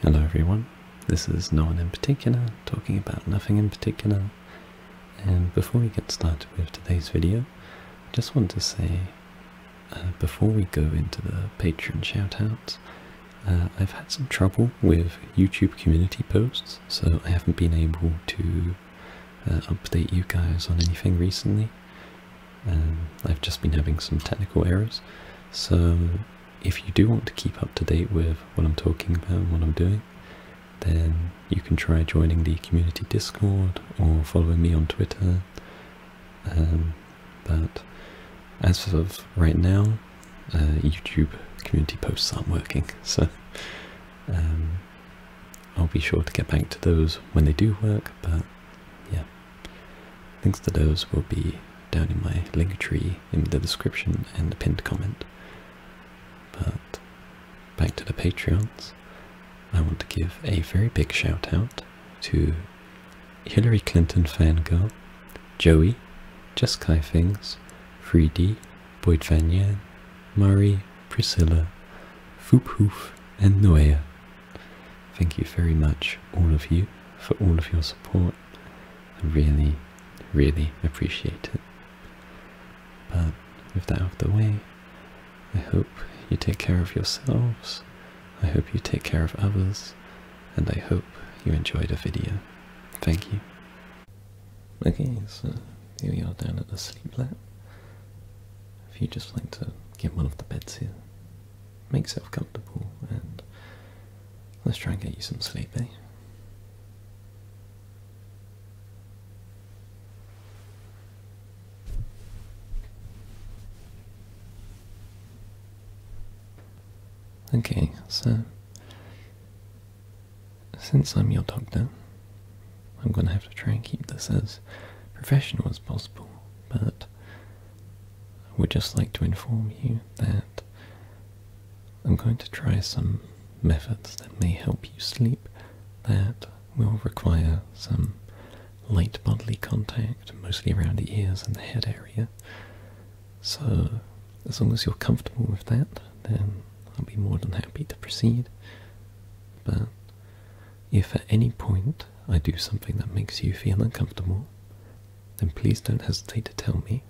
Hello everyone, this is no one in particular talking about nothing in particular and before we get started with today's video I just want to say uh, before we go into the Patreon shoutouts uh, I've had some trouble with YouTube community posts so I haven't been able to uh, update you guys on anything recently um, I've just been having some technical errors so if you do want to keep up to date with what I'm talking about and what I'm doing, then you can try joining the community Discord or following me on Twitter. Um, but as of right now, uh, YouTube community posts aren't working, so um, I'll be sure to get back to those when they do work, but yeah. Links to those will be down in my link tree in the description and the pinned comment. But back to the Patreons. I want to give a very big shout out to Hillary Clinton fan Fangirl, Joey, Just Kai Things, 3D, Boyd Van Yan, Murray, Priscilla, Foophoof, and Noea. Thank you very much, all of you, for all of your support I really, really appreciate it. But with that out of the way, I hope you take care of yourselves, I hope you take care of others, and I hope you enjoyed the video. Thank you. Okay, so here we are down at the sleep lab. If you just like to get one of the beds here, make yourself comfortable and let's try and get you some sleep, eh? Okay, so since I'm your doctor, I'm going to have to try and keep this as professional as possible, but I would just like to inform you that I'm going to try some methods that may help you sleep that will require some light bodily contact, mostly around the ears and the head area. So, as long as you're comfortable with that, then I'll be more than happy to proceed. But if at any point I do something that makes you feel uncomfortable, then please don't hesitate to tell me,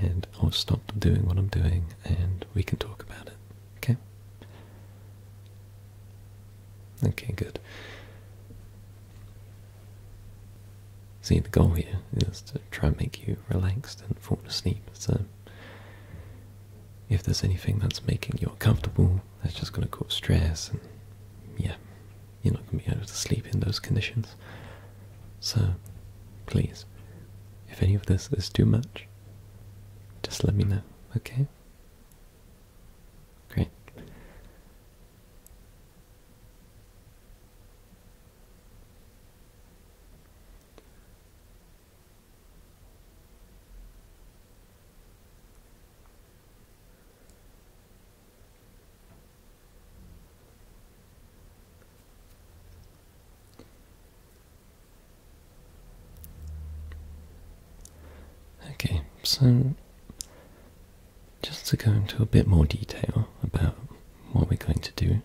and I'll stop doing what I'm doing and we can talk about it, okay? Okay, good. See, the goal here is to try and make you relaxed and fall asleep, so if there's anything that's making you uncomfortable, that's just going to cause stress, and yeah, you're not going to be able to sleep in those conditions. So, please, if any of this is too much, just let me know, okay? Great. Okay, so just to go into a bit more detail about what we're going to do.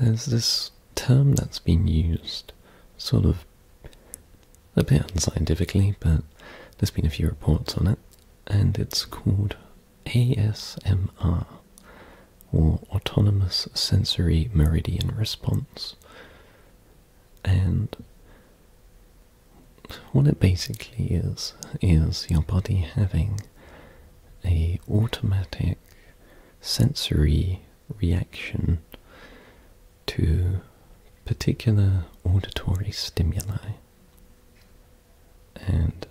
There's this term that's been used sort of a bit unscientifically, but there's been a few reports on it, and it's called ASMR, or Autonomous Sensory Meridian Response. And what it basically is, is your body having a automatic sensory reaction to particular auditory stimuli. And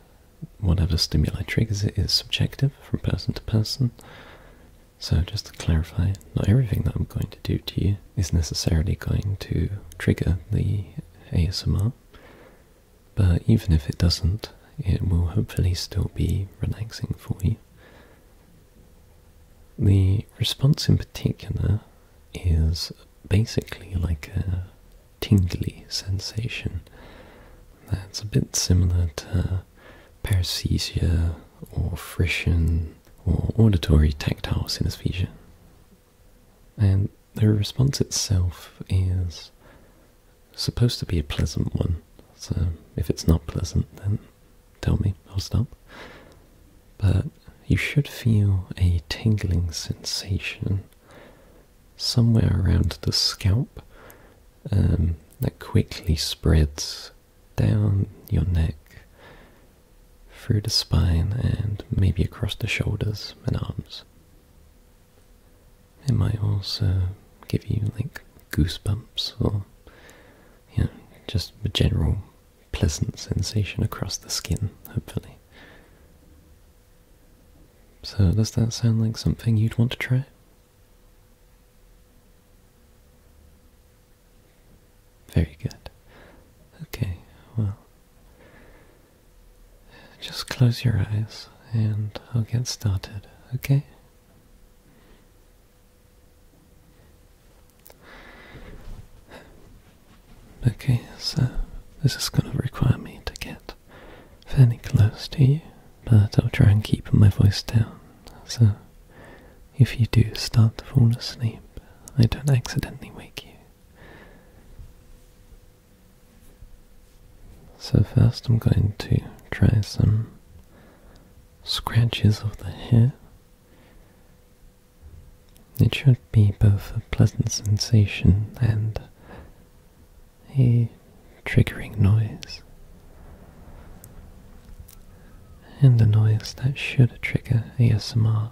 whatever stimuli triggers it is subjective from person to person. So just to clarify, not everything that I'm going to do to you is necessarily going to trigger the ASMR. But even if it doesn't, it will hopefully still be relaxing for you. The response in particular is basically like a tingly sensation that's a bit similar to paresthesia or frisson or auditory tactile synesthesia. And the response itself is supposed to be a pleasant one, so if it's not pleasant, then tell me, I'll stop. But you should feel a tingling sensation somewhere around the scalp um, that quickly spreads down your neck, through the spine, and maybe across the shoulders and arms. It might also give you like goosebumps or you know, just a general pleasant sensation across the skin, hopefully. So does that sound like something you'd want to try? Very good. Okay, well, just close your eyes and I'll get started, okay? Okay, so this is going to require me to get fairly close to you, but I'll try and keep my voice down. So if you do start to fall asleep, I don't accidentally wake you. So first I'm going to try some scratches of the hair. It should be both a pleasant sensation and a triggering noise. And a noise that should trigger ASMR.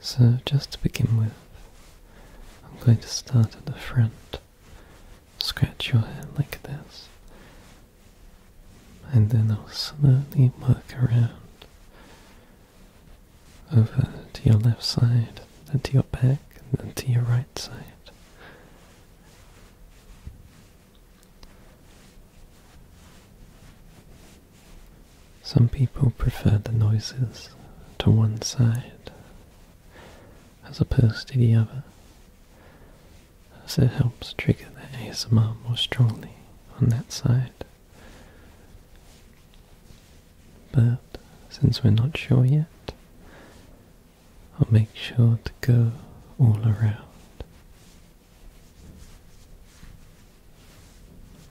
So just to begin with, I'm going to start at the front, scratch your head like this, and then I'll slowly work around over to your left side, then to your back, then to your right side. Some people prefer the noises to one side as opposed to the other, as it helps trigger the ASMR more strongly on that side. But since we're not sure yet, I'll make sure to go all around.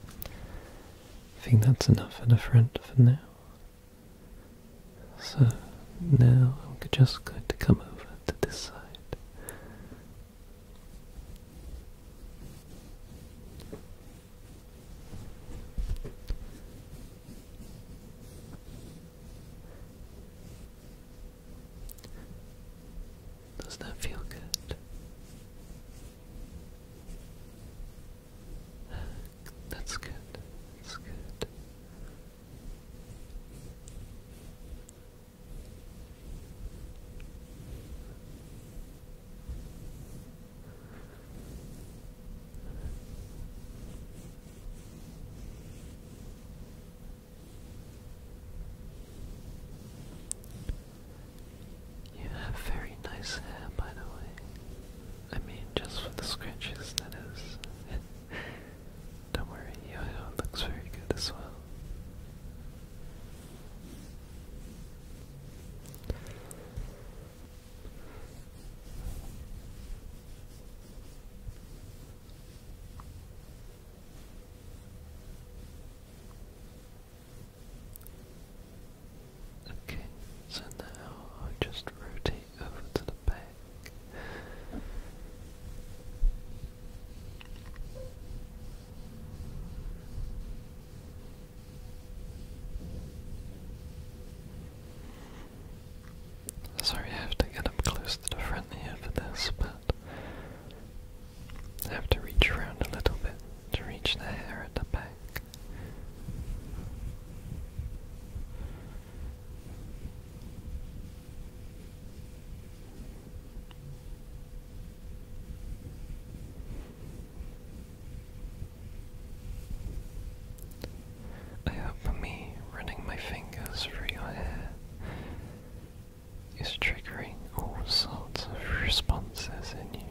I think that's enough at the front for now. So now I'm just going to come over to this side. Does that feel good? That's good. That's good. You have very nice hair, by the way. I mean, just for the scrunchies that is. Don't worry, your hair looks very good as well. Okay, so now i just rotate over to the back. Sorry, I have to get up close to the front here for this, but have to reach around a little bit to reach the hair at the back. I hope me running my fingers through your hair is triggering all sorts of responses in you.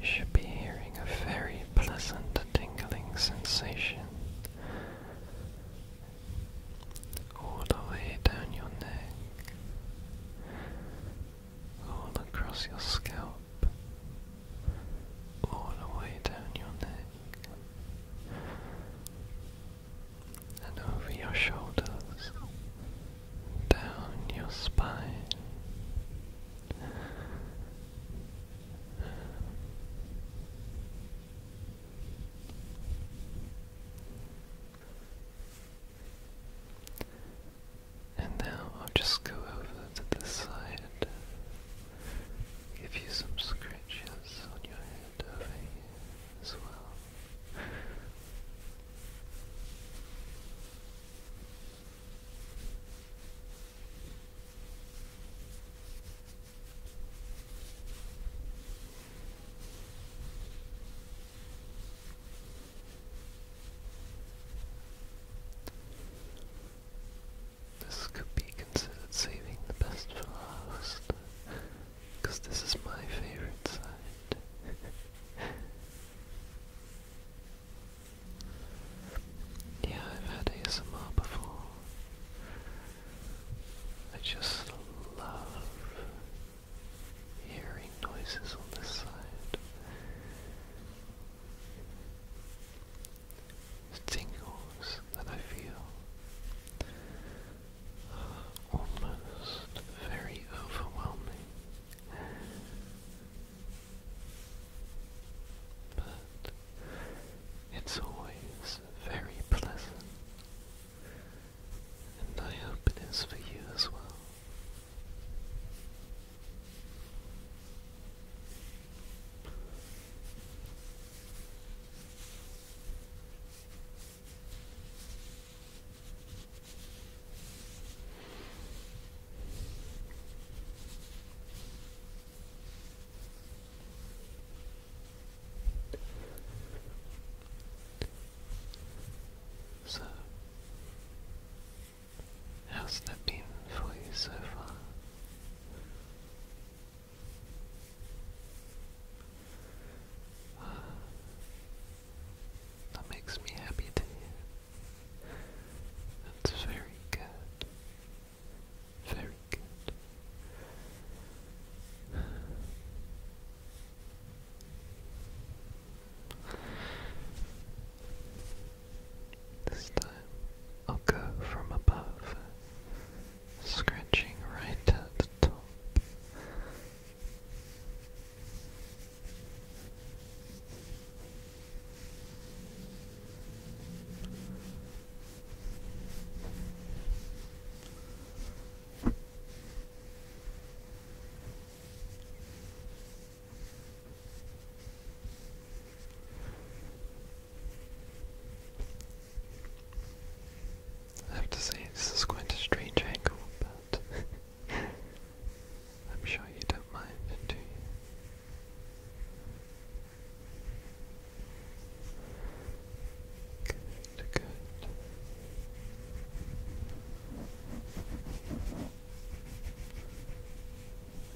You should be hearing a very pleasant tingling sensation all the way down your neck, all across your scalp, all the way down your neck and over your shoulders, down your spine. And now I'll just go over to the side give you some scratches on your head over here as well. This could be considered saving the best for last, because this is my favorite side. yeah, I've had ASMR before. I just love hearing noises on this side tingles that I feel are uh, almost very overwhelming. But it's always very pleasant, and I hope it is for you as well. So, how's that been for you so far? Uh, that makes me happy That's very good. Very good. This time, I'll go from above, scratching right at the top. I have to say, this is quite a strange angle, but I'm sure you don't mind, do you? Good, good.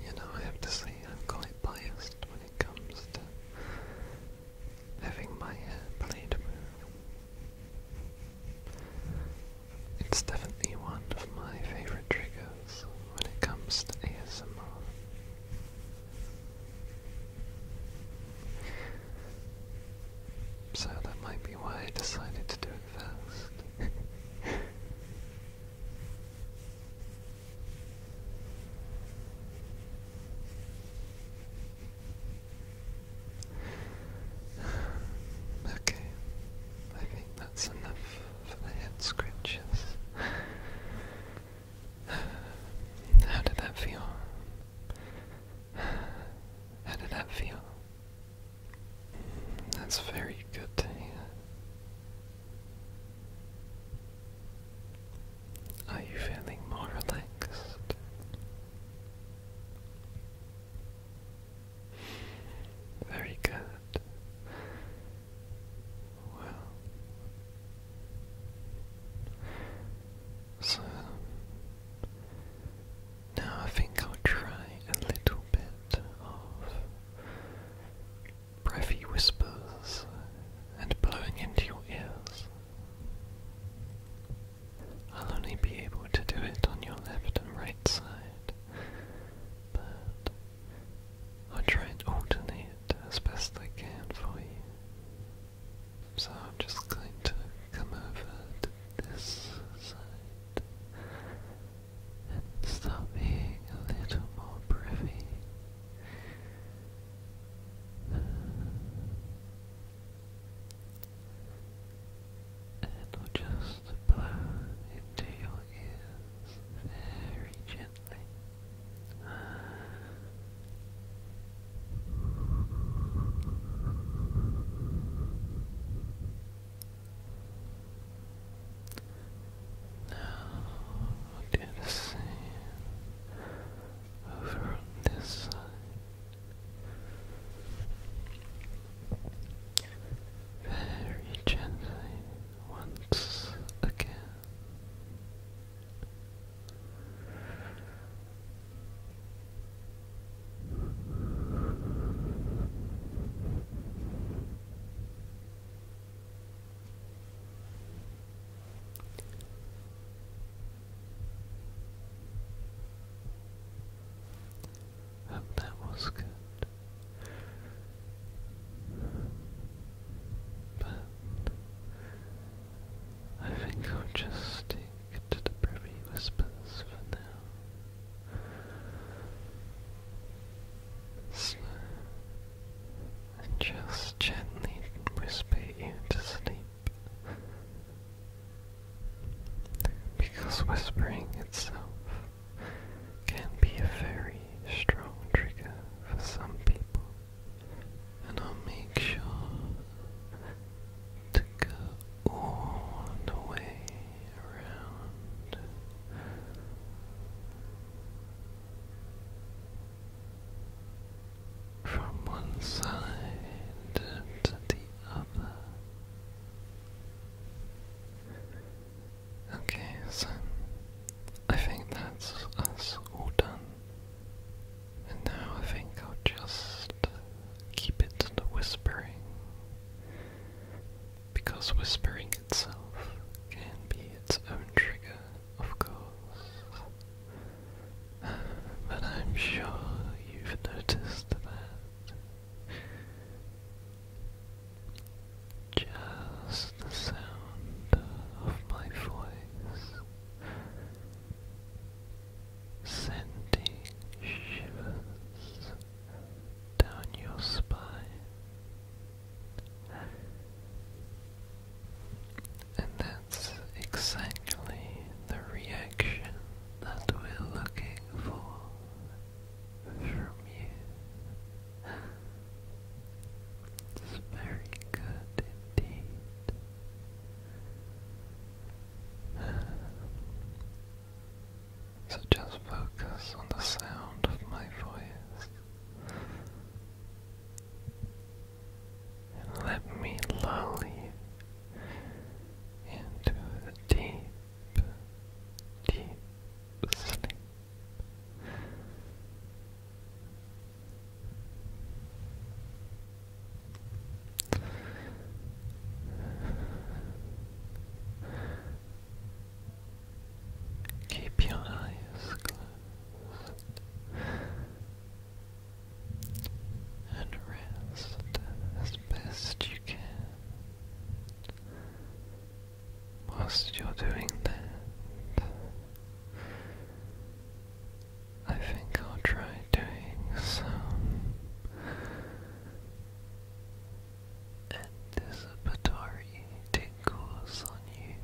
You know, I have to say I'm quite biased when it comes to having my hair played It's definitely one of my favorite triggers when it comes to ASMR. So that might be why I decided to do it first. okay, I think that's enough for head scratches. How did that feel? How did that feel? That's very good to hear. Are you feeling more relaxed? Very good. Well, so now I think I'll try a little bit of breathy whispers and blowing into your ears. I'll only be able to do it on your left and right side, but I'll try and alternate as best I can for you. So I'm just going to come over to this side and stop being a little more privy. And i will just blow into your ears very gently. Now do the same over on this side. Very gently once again. Hope that was good. But I think I'll just stick to the privy whispers for now. Slow and just gently whisper you to sleep. Because whispering itself can be a very strong trigger for some people and I'll make sure to go all the way around. From one side to the other. Okay, so I think that's us all done. And now I think I'll just keep it to the whispering, because whispering itself can be its own trigger, of course. but I'm sure you've noticed that. Just the sound of my voice sending shivers down your spine and that's exactly the reaction that we're looking for from you. It's very good indeed. So just focus on the sound of my voice. And let me lull you into a deep, deep sleep. Keep your eyes closed and rest as best you can. Whilst you're doing that, I think I'll try doing some anticipatory tingles on you.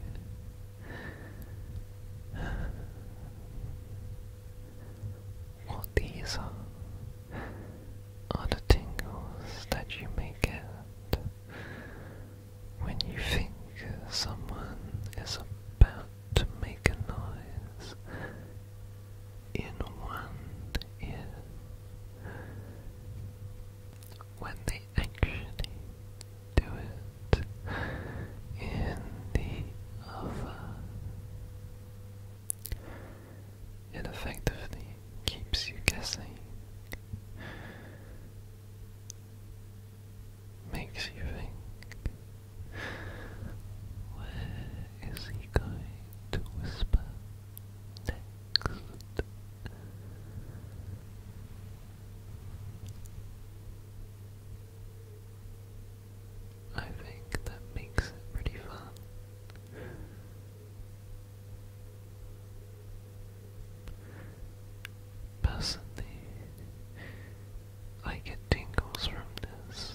What these are are the tingles that you may get when you think someone is about to make a noise in one ear when they actually do it in the other. It effectively keeps you guessing, makes you think, where is he going to whisper next? I think that makes it pretty fun. Personally, I get tingles from this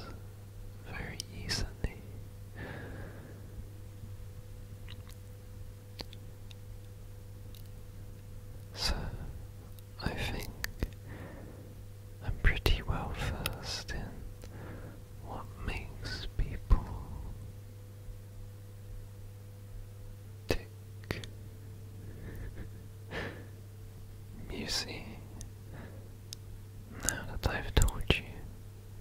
very easily. So, I think I'm pretty well versed in what makes people tick. Music now that I've told you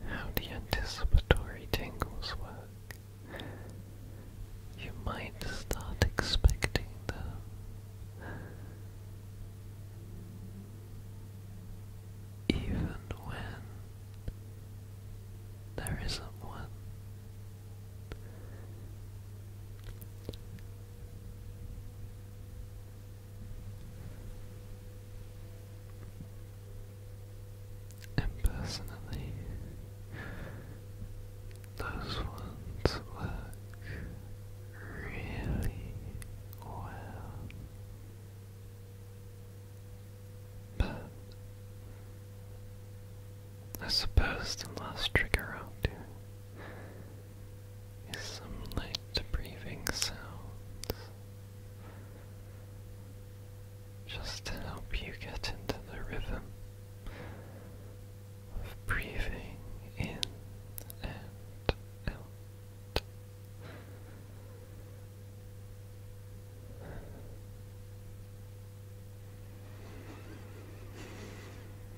how the anticipatory tingles work, you might start expecting them. Even when there isn't one. And personally, those ones work really well. But I suppose the last trick around here is some light breathing sounds just to help you get into the rhythm of breathing in and out.